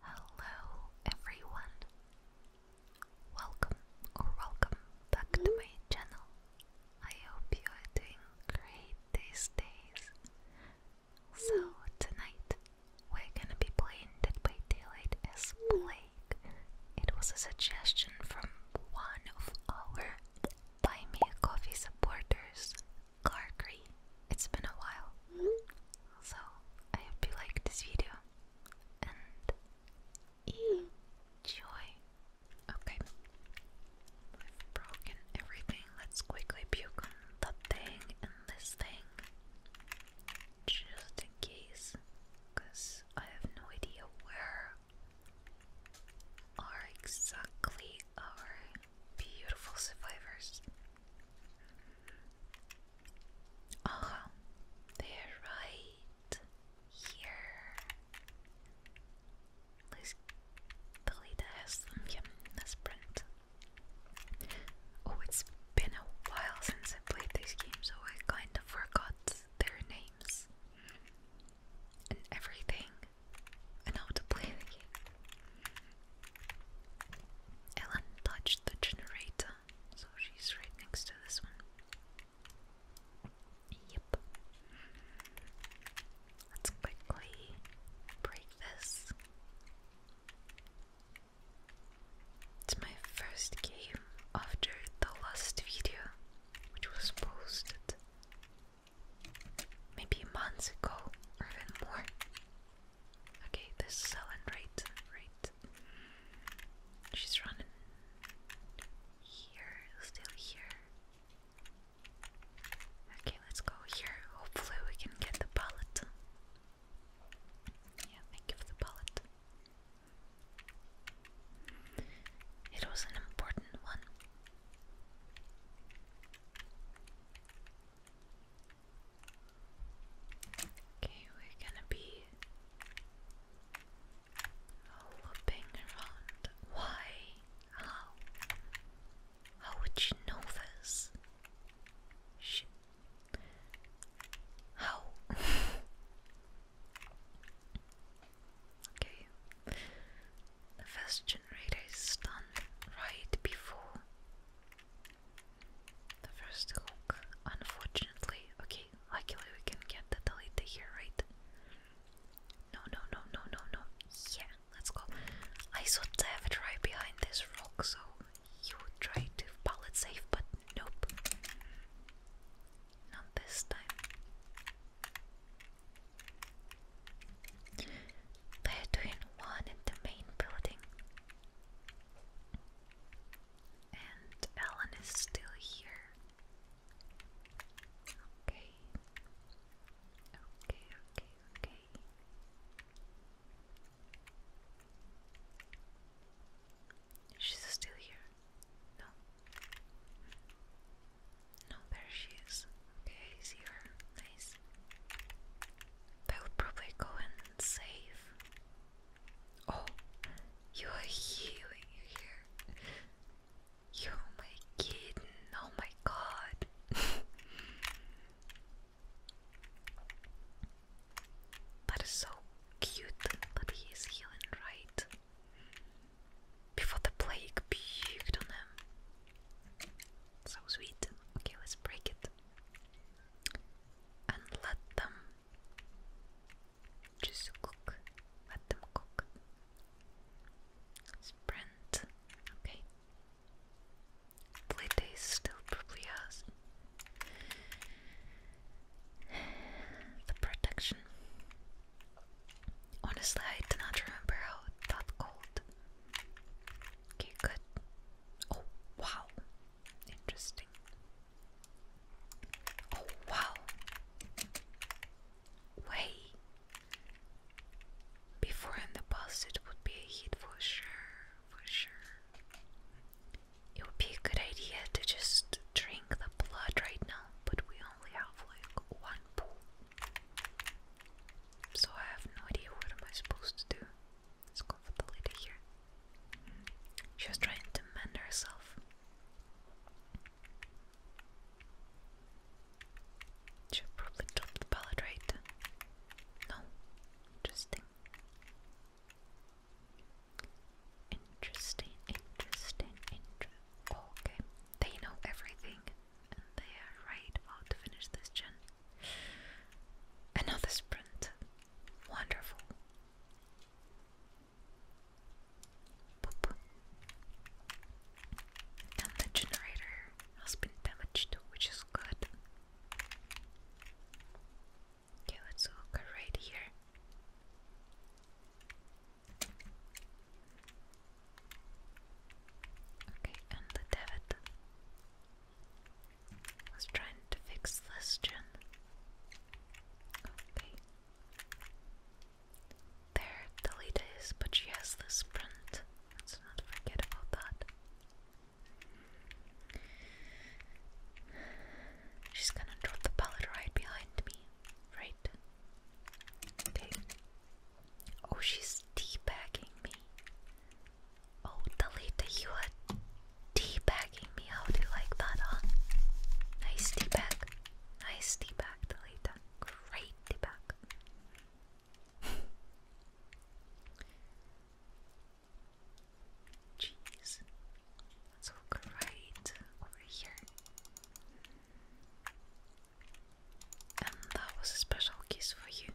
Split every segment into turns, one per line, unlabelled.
Hello everyone! Welcome or welcome back to my channel. I hope you are doing great these days. So tonight we're gonna be playing Dead by Daylight as Plague. It was a suggestion from one of our Buy Me a Coffee supporters, Gargree. It's been a while. So I hope you liked this video and enjoy. Okay, I've broken everything. Let's quickly puke on that thing and this thing, just in case, because I have no idea where are exactly our beautiful survivors. Aha, they're right here. Let's delete the Haslam. Yeah, let's Oh, it's been a while since I played this game, so I kind of forgot their names and everything and how to play the game. Ellen touched the generator, so she's right next to this one. Yep. Let's quickly break this. It's my first game after the last video, which was posted maybe months ago or even more. Okay, this is Helen, right? Right. She's running here, still here. Okay, let's go here. Hopefully, we can get the pallet. Yeah, thank you for the pallet. It was an important one. Okay, we're gonna be looping around. Why? How? How would you know this? Shit. How? okay. The first generator is done right before the first hook, unfortunately. Okay, luckily we can get the Delita here, right? No, no, no, no, no, no. Yeah, let's go. I saw David right behind this rock, so he would try to pallet safe, but nope. Not this time they one in the main building. And Ellen is still here. Okay. Okay, okay, okay. She's still here. No. No, there she is. Okay, see her. Nice. I would probably go and save. Oh, you are here. You're my kitten. Oh my god. that is so cute that he is healing right before the plague puked on him. So sweet. Okay, let's break it and let them just cook. Let them cook. Sprint. Okay. Play days still probably the protection. Honestly, I do not remember how that cold Okay, good. Oh, wow. Interesting. Oh, wow. Way. Before in the past, it would be a hit for sure. For sure. It would be a good idea to just drink the blood right now, but we only have like one pool. So I have no idea what am I supposed to do. Let's go the lady here. She was trying to mend herself. Should probably drop the pallet, right? No. Interesting. Interesting, interesting, interesting. okay. They know everything they are right about to finish this gen. Another sprint. Wonderful. And the generator has been damaged, which is good. Okay, let's look right here. Okay, and the David was trying to fix this gen. Okay. There, the but she has the sprint. Let's not forget about that. She's gonna drop the pallet right behind me, right? Okay. Oh, she's teabagging me. Oh, delete the you are debagging me. How do you like that, huh? Nice debag, Nice teabag, Delita. Great debag. Jeez. Let's look over here. And that was a special kiss for you.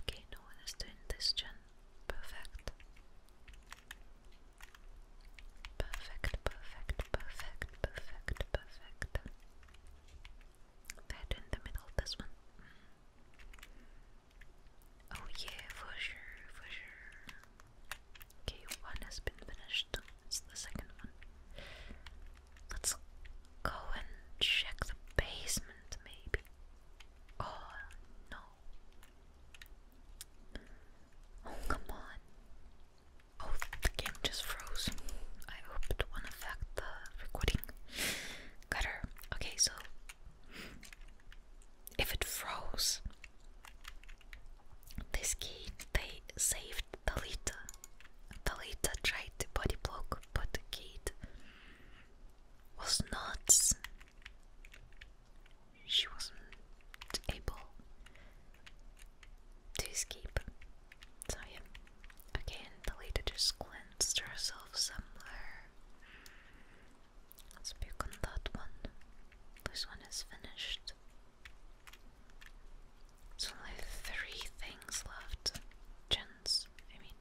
Okay, no one is doing this, Jen. Perfect. Perfect, perfect, perfect, perfect, perfect. in the middle, this one. Mm. Oh, yeah, for sure, for sure. Okay, one has been finished. It's the second one. Let's go and check the basement, maybe. Oh no. Oh, come on. Oh, the game just froze. I hope it won't affect the recording. Cutter. Okay, so if it froze, this kid they saved Talita. Talita tried to body block, but the kid was not. She wasn't able to escape. So yeah, again, Talita just cleansed herself somewhere. Let's pick on that one. This one is finished. There's only three things left. Gens, I mean.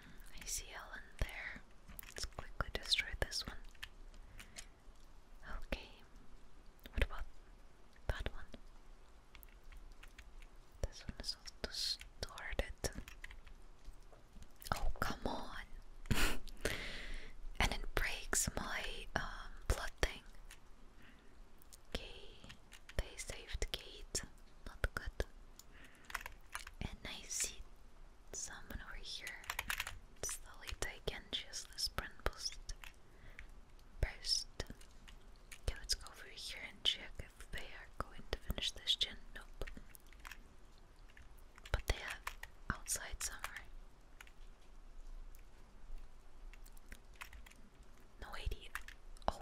Hmm, I see Ellen there. Let's quickly destroy this one. Okay. What about one? This one is also started. Oh, come on. and it breaks my um, blood thing. Okay, they saved Kate. Not good. And I see someone over here. Slowly take and just the sprint boost. Burst. Okay, let's go over here and check if they are going to finish this gen. Nope but they are outside somewhere. No idea. Oh,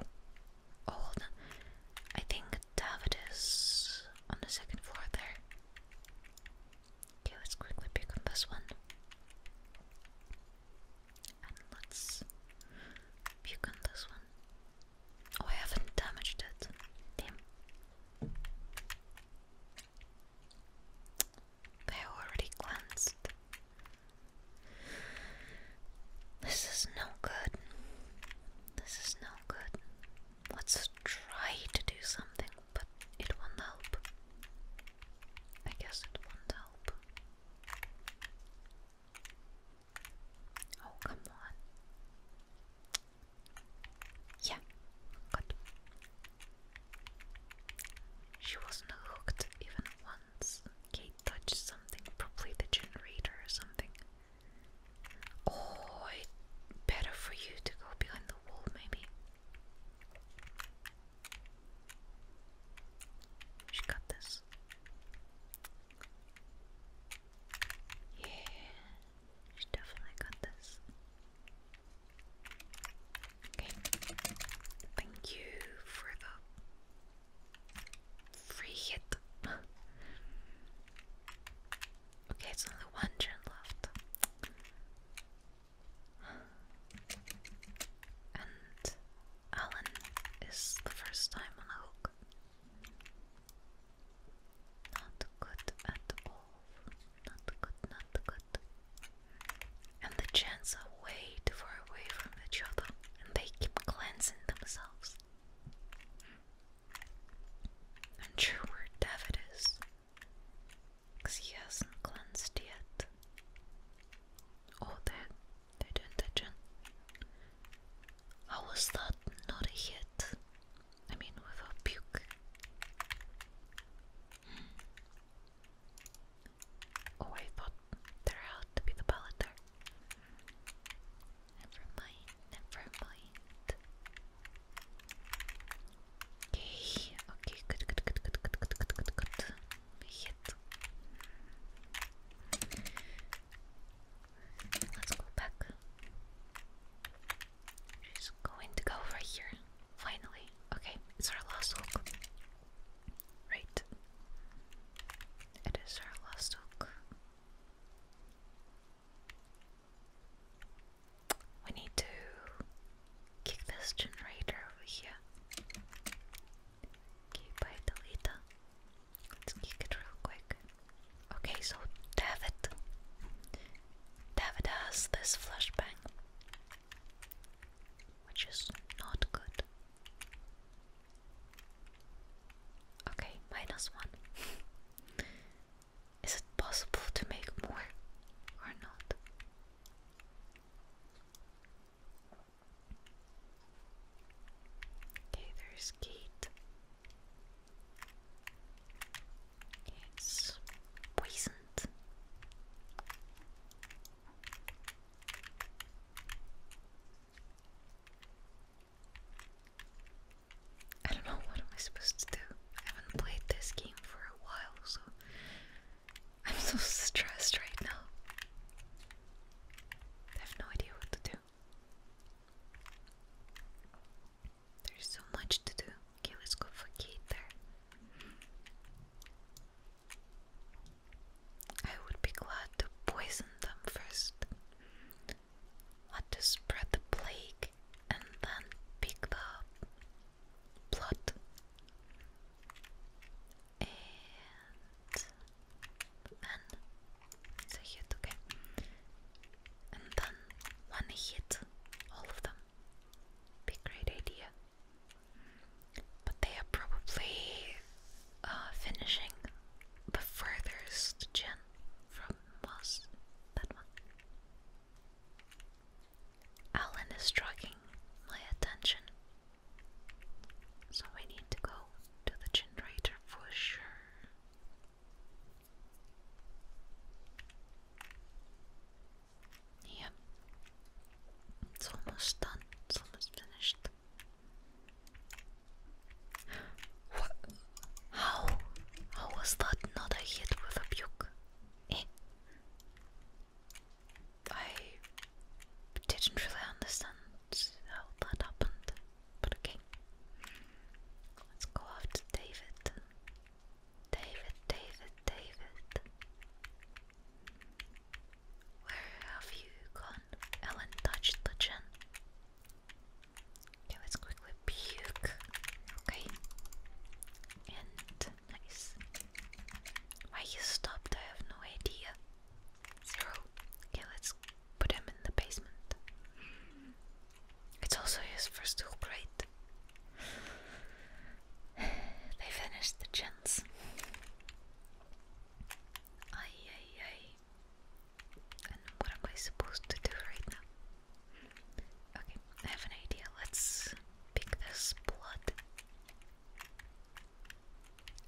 oh, hold on. I think David is on the second floor there. Okay, let's quickly pick up this one. And let's puke on this one. Oh, I haven't damaged it. Damn. They already glanced. This is no good. This is no good. Let's try to do something, but it won't help. I guess it won't help. Oh, come on. Yeah, good. She wasn't hooked even once. Kate touched something, probably the generator or something. Oh, better for you to go behind the wall, maybe. She got this. Yeah, you definitely got this. Okay. Thank you for the free hit. okay, it's only one turn left. And Alan is the first time on a hook. Not good at all. Not good, not good. And the gens are way too far away from each other and they keep cleansing themselves. And sure where David is. Because he hasn't cleansed yet. Oh, they they're doing the How was that not a I mean, without puke. Oh, I thought there had to be the pallet there. Never mind, never mind. Okay, okay, good, good, good, good, good, good, good, good, good. Hit. Let's go back. She's going to go right here. Finally. Okay, it's our last hook. Right. It is our last hook. We need to kick this generator over here. Okay, bye, Delita. Let's geek it real quick. Okay, so David. David has this flashbang. Which is not good. Okay, minus one. is it possible to make more or not? Okay, there's Kate. It's poisoned. I don't know what am I supposed to do. I haven't played this game for a while, so I'm so stressed right now. I have no idea what to do. There's so much to do. Okay, let's go for Gator. I would be glad to poison them first. Let to spread the plague and then pick the blood and it's a hit, okay? And then one hit, all of them. Be great idea. But they are probably uh, finishing the furthest gen from was that one. Alan is dragging my attention. So we need to go to the generator for sure. Yeah. It's almost done. It's almost finished. What? How? How was that not a hit with a puke? Eh. I didn't really understand how that happened. But Let's go after David. David, David, David. Where have you gone? Ellen touched the chin. Okay, let's quickly puke. Okay. And nice. Why you stopped? I have no idea. Zero. Okay, let's put them in the basement. It's also his first tool crate. They finished the chins. Aye, aye, aye. And what am I supposed to do right now? Okay, I have an idea. Let's pick this blood.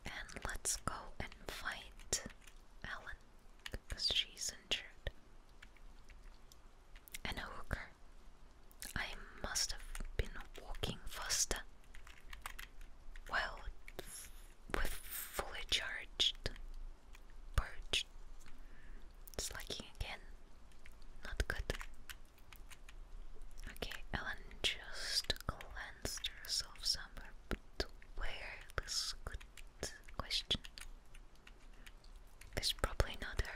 And let's go and find Alan because she's injured. And I a hooker. I must have been walking faster. Well, with fully charged, perched, slacking again. Not good. Okay, Ellen just glanced monsters of summer, but where? good question. There's probably another.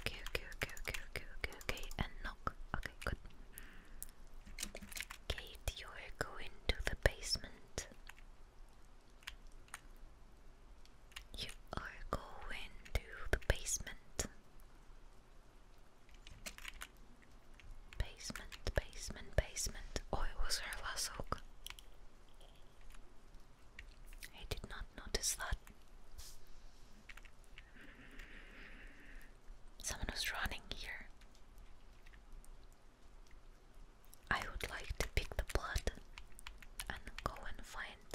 Okay, okay, okay, okay, okay, okay, okay, and knock. Okay, good. Kate, you're going to the basement. You are going to the basement. Basement, basement, basement. Oh, it was her last hook. I did not notice that. Someone was running here. I would like to pick the blood and go and find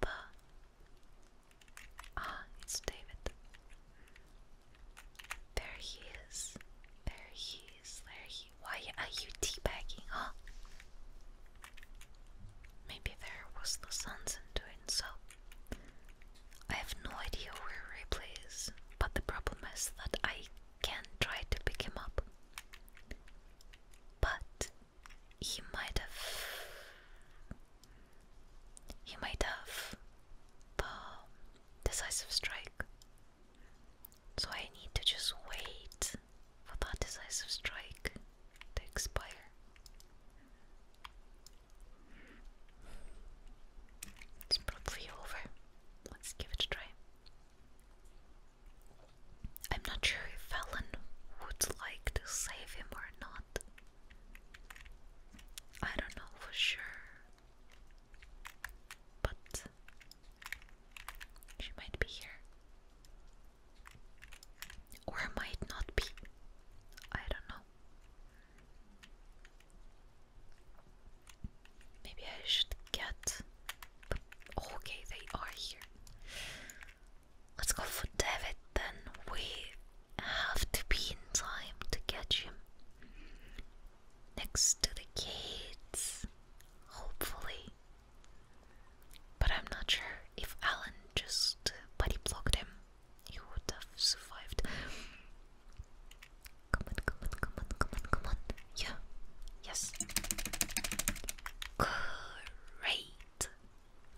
the Ah, it's David. There he is. There he is. There he. Why are you teabagging, huh? Maybe there was the sunset doing so. I have no idea where Ripley is, but the problem is that I can try to pick him up. But he might have he might have the um, decisive strike. So I need to just wait for that decisive strike to expire. It's probably over. Let's give it a try. I'm not sure if Fallon would like to save him or not. I don't know for sure, but she might be here or might not be. I don't know. Maybe I should get. Okay, they are here. Let's go for David then with have to be in time to catch him. Next to the kids, hopefully. But I'm not sure if Alan just body blocked him, he would have survived. Come on, come on, come on, come on, come on. Yeah, yes. Great!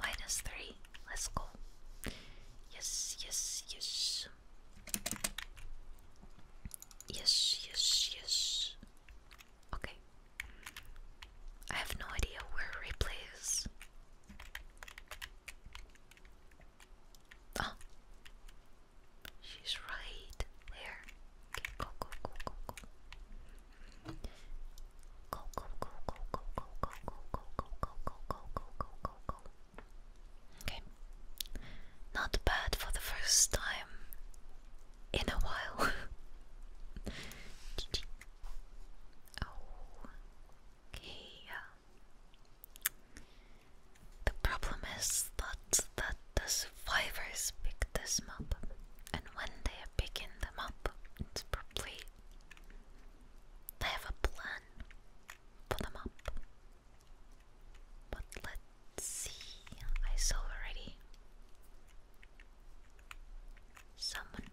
Minus three. Let's go. Yes, yes, yes. Yes, yes, yes. Okay. I have no idea where replay is. Oh. She's right there. Okay, go, go, go, go, go. Go, go, go, go, go, go, go, go, go, go, go, go, go, go, go, go. Okay. Not bad for the first time in a while. Oh. Okay. The problem is that that the survivors pick this map, and when they are picking the map, it's probably they have a plan pull them up. But let's see. I saw already someone.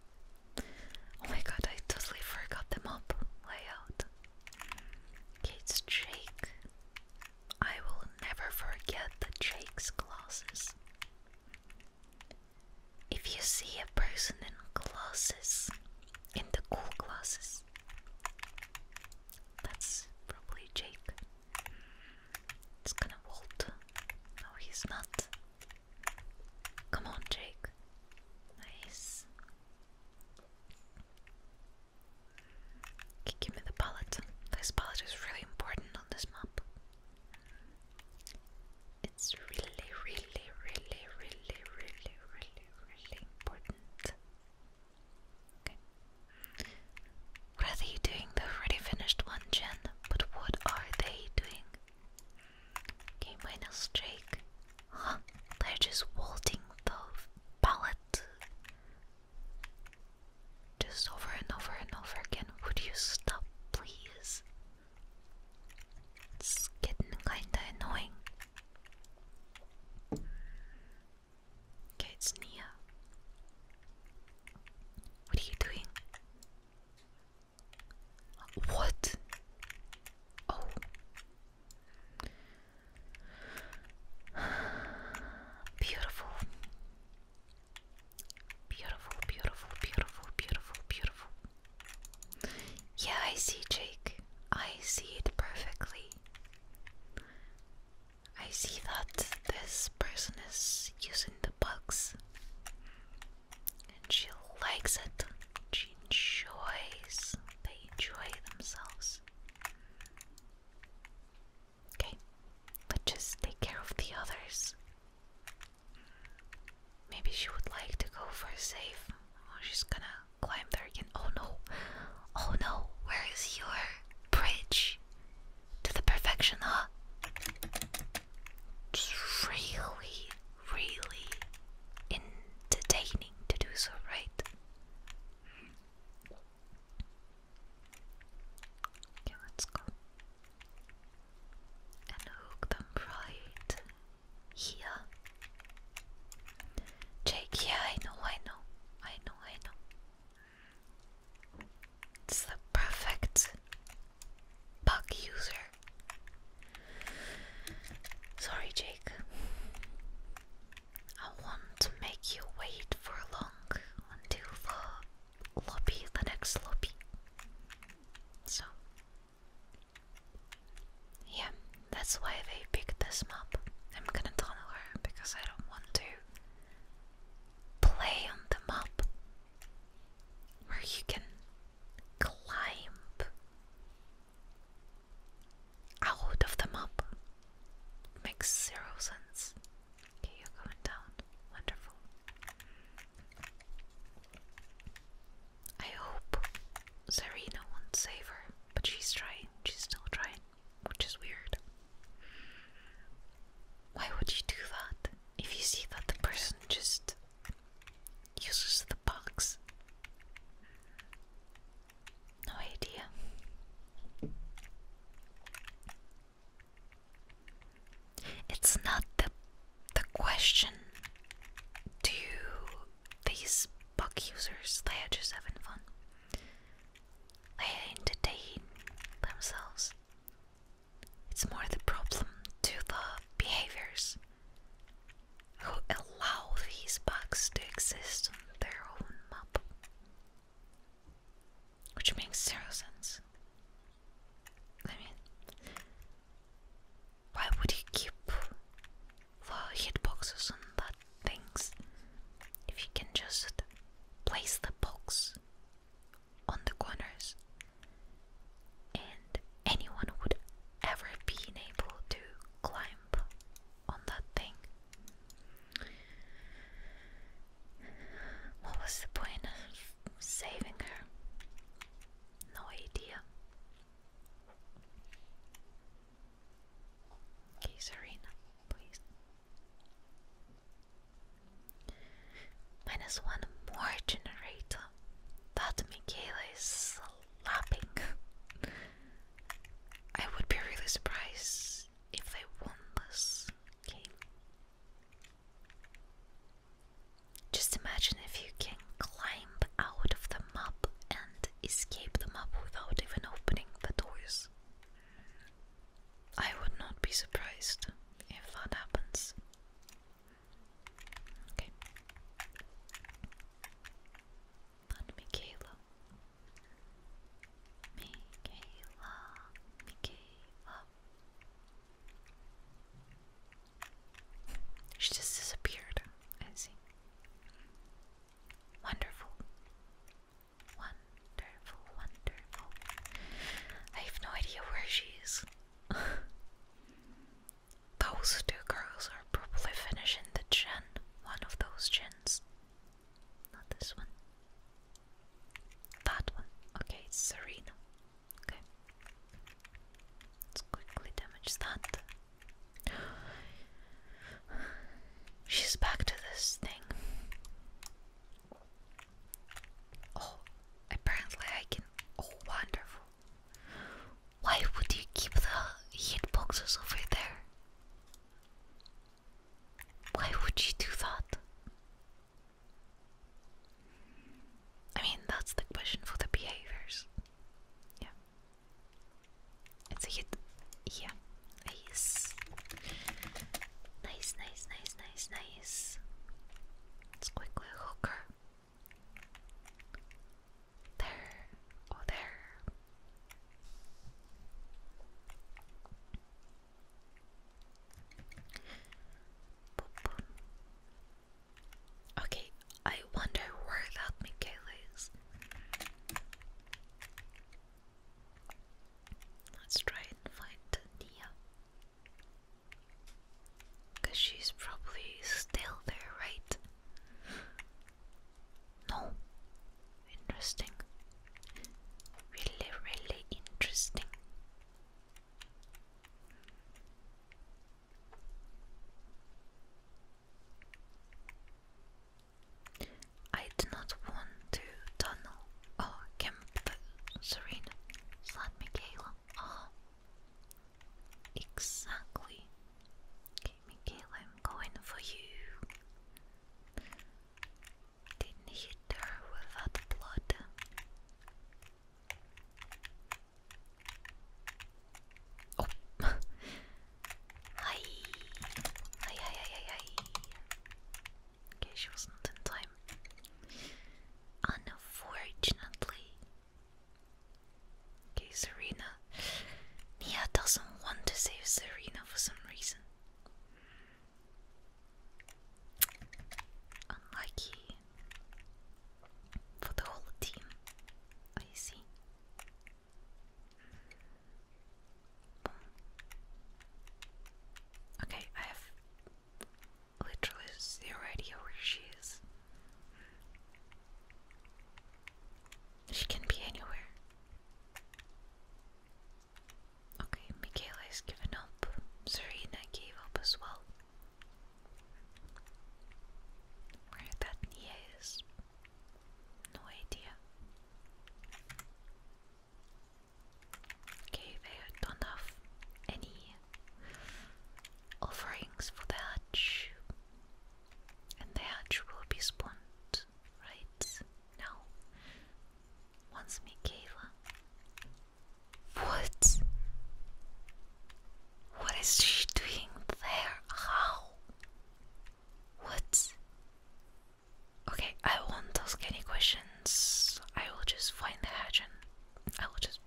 Oh my god, I totally forgot the map layout. it's Jake. I will never forget the Jake's glasses. If you see a person in glasses, in the cool glasses, that's probably Jake. It's gonna Walt. No, he's not. Come on, Jake. Nice. give me the palette. This palette is really important on this map. It's really, really, really, really, really, really, really important. What are you doing? They've already finished one Jen. but what are they doing? Okay, minus Drake. Huh? They're just waltzing the pallet. Just over and over and over again. Would you stop, please? It's getting kinda annoying. Okay, it's Nia. What are you doing? What? Oh. Beautiful, beautiful, beautiful, beautiful, beautiful. Yeah, I see, Jake. I see it perfectly. I see that this person is using the bugs. And she likes it. She enjoys. They enjoy themselves. Okay, but just take care of the others. Maybe she would like to go for a save. Or oh, she's gonna climb there again. Oh no! Oh no! Where is your bridge? To the perfection, huh? It's really, really entertaining to do so, right? let's go and hook them right here. Jake, yeah, I know, I know, I know, I know. It's the perfect bug user. Sorry, Jake. I want to make you wait for long until the lobby, the next lobby. So yeah, that's why they picked this map. I'm gonna tunnel her because I don't want to play on the map where you can climb out of the map. makes zero sense. you're going down. Wonderful. I hope Serena won't save her, but she's trying, she's still trying, which is weird. Why would you do that if you see that the person just uses the box? No idea. It's not the the question to these bug users they are just having fun? They entertain themselves. It's more the problem to the behaviors who allow these bugs to exist on their own map. Which makes zero sense. I mean, why would you keep the hitboxes on that things if you can just place the box on the corners and anyone would ever be able to climb on that thing? What was the point of saving her. No idea. Okay, please. Minus one more generator. That Michaela is slapping. I would be really surprised if they won this game. Just imagine if you can climb out of the map and escape the map without even opening the doors. I would not be surprised if that happens. Okay. And Michaela. Michaela. Michaela. She just disappeared, I see. Wonderful. Wonderful, wonderful. I have no idea where she is. those two girls are probably finishing the gin, one of those gins. Not this one. That one. Okay, Serena. Okay. Let's quickly damage that. She's back to this thing. Oh, apparently I can. Oh, wonderful. Why would you keep the heat boxes over there? Why would you do that? I mean, that's the question for the behaviors. Yeah. It's a hit. Yeah. Nice. Nice, nice, nice, nice, Let's quickly hook her. There. Oh, there. Boop, Okay, I wonder where that Mikaela is. Let's try and find Nia. Because she's probably still there, right? No. Interesting. Really, really interesting. I do not want to tunnel or camp Serena, said Michaela. Oh, ah. exactly. Michaela, I'm going for you. Didn't hit her without blood. おっはいはいはいはいはい oh. Okay, she wasn't in time. Unfortunately. Okay, Serena. Nia doesn't want to save Serena for some reason. Unlucky for the whole team, I see. Okay, I have literally zero idea where she is. She can be anywhere. Okay, Michaela is giving up. Serena gave up as well. Where that Nia is, no idea. Okay, they don't have any offerings for the hatch, and the hatch will be spawned right now once Mikayla what? What is she doing there? How? What? Okay, I won't ask any questions. I will just find the hatch and I will just.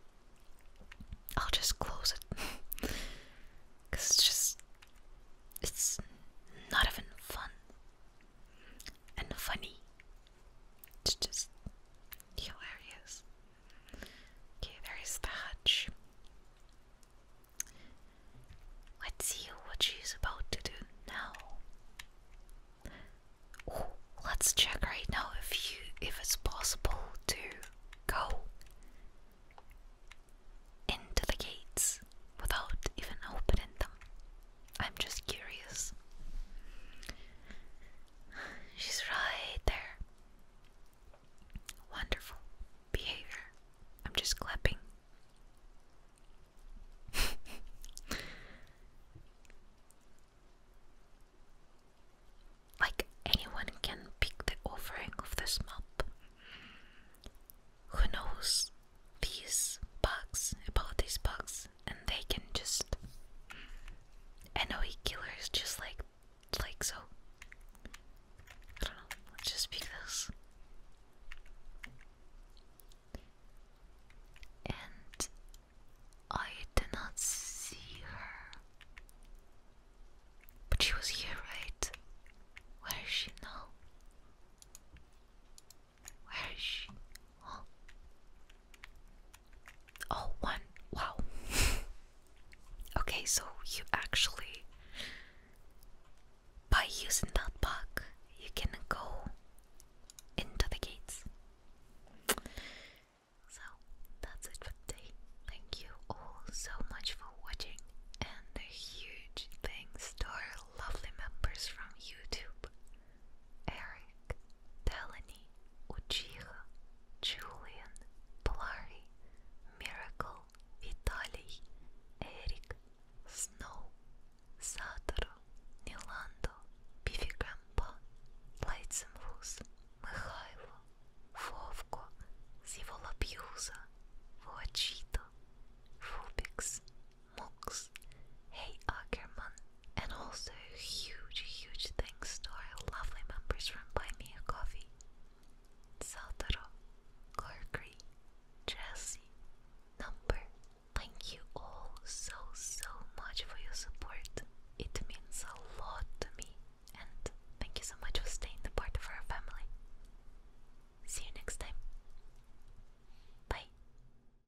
I'll just close it. Because it's just. It's not even fun. And funny. It's just. Hilarious. Okay, there is the hutch. Let's see what she's about to do now. let's check right now if you if it's possible to go into the gates without even opening them. I'm just curious. She's right there. Wonderful behavior. I'm just clapping. like anyone can pick the offering of this map. Who knows these bugs about these bugs? and they can just no, he killers just like like so. I don't know, let's just pick this. And I did not see her. But she was here, right? Where is she now? Oh, one. Wow. okay, so you actually, by using that bug, you can go into the gates. So that's it for today. Thank you all so much for watching, and a huge thanks to our lovely members from YouTube Eric, Delaney, Uchiha, Julian, Blurry, Miracle, Vitaly, Eric, Snow, Satoru, Nilando, Biffy Grandpa, Lightsenfus, Mikhailo, Vovko, Zivolabuse, Voachito, Rubix, Mox, Hey Ackerman, and also huge, huge thanks to our lovely members from Buy Me a Coffee. Saltaro, Corkery, Jesse, Number. Thank you all so, so much for your support. It means a lot to me, and thank you so much for staying the part of our family. See you next time. Bye.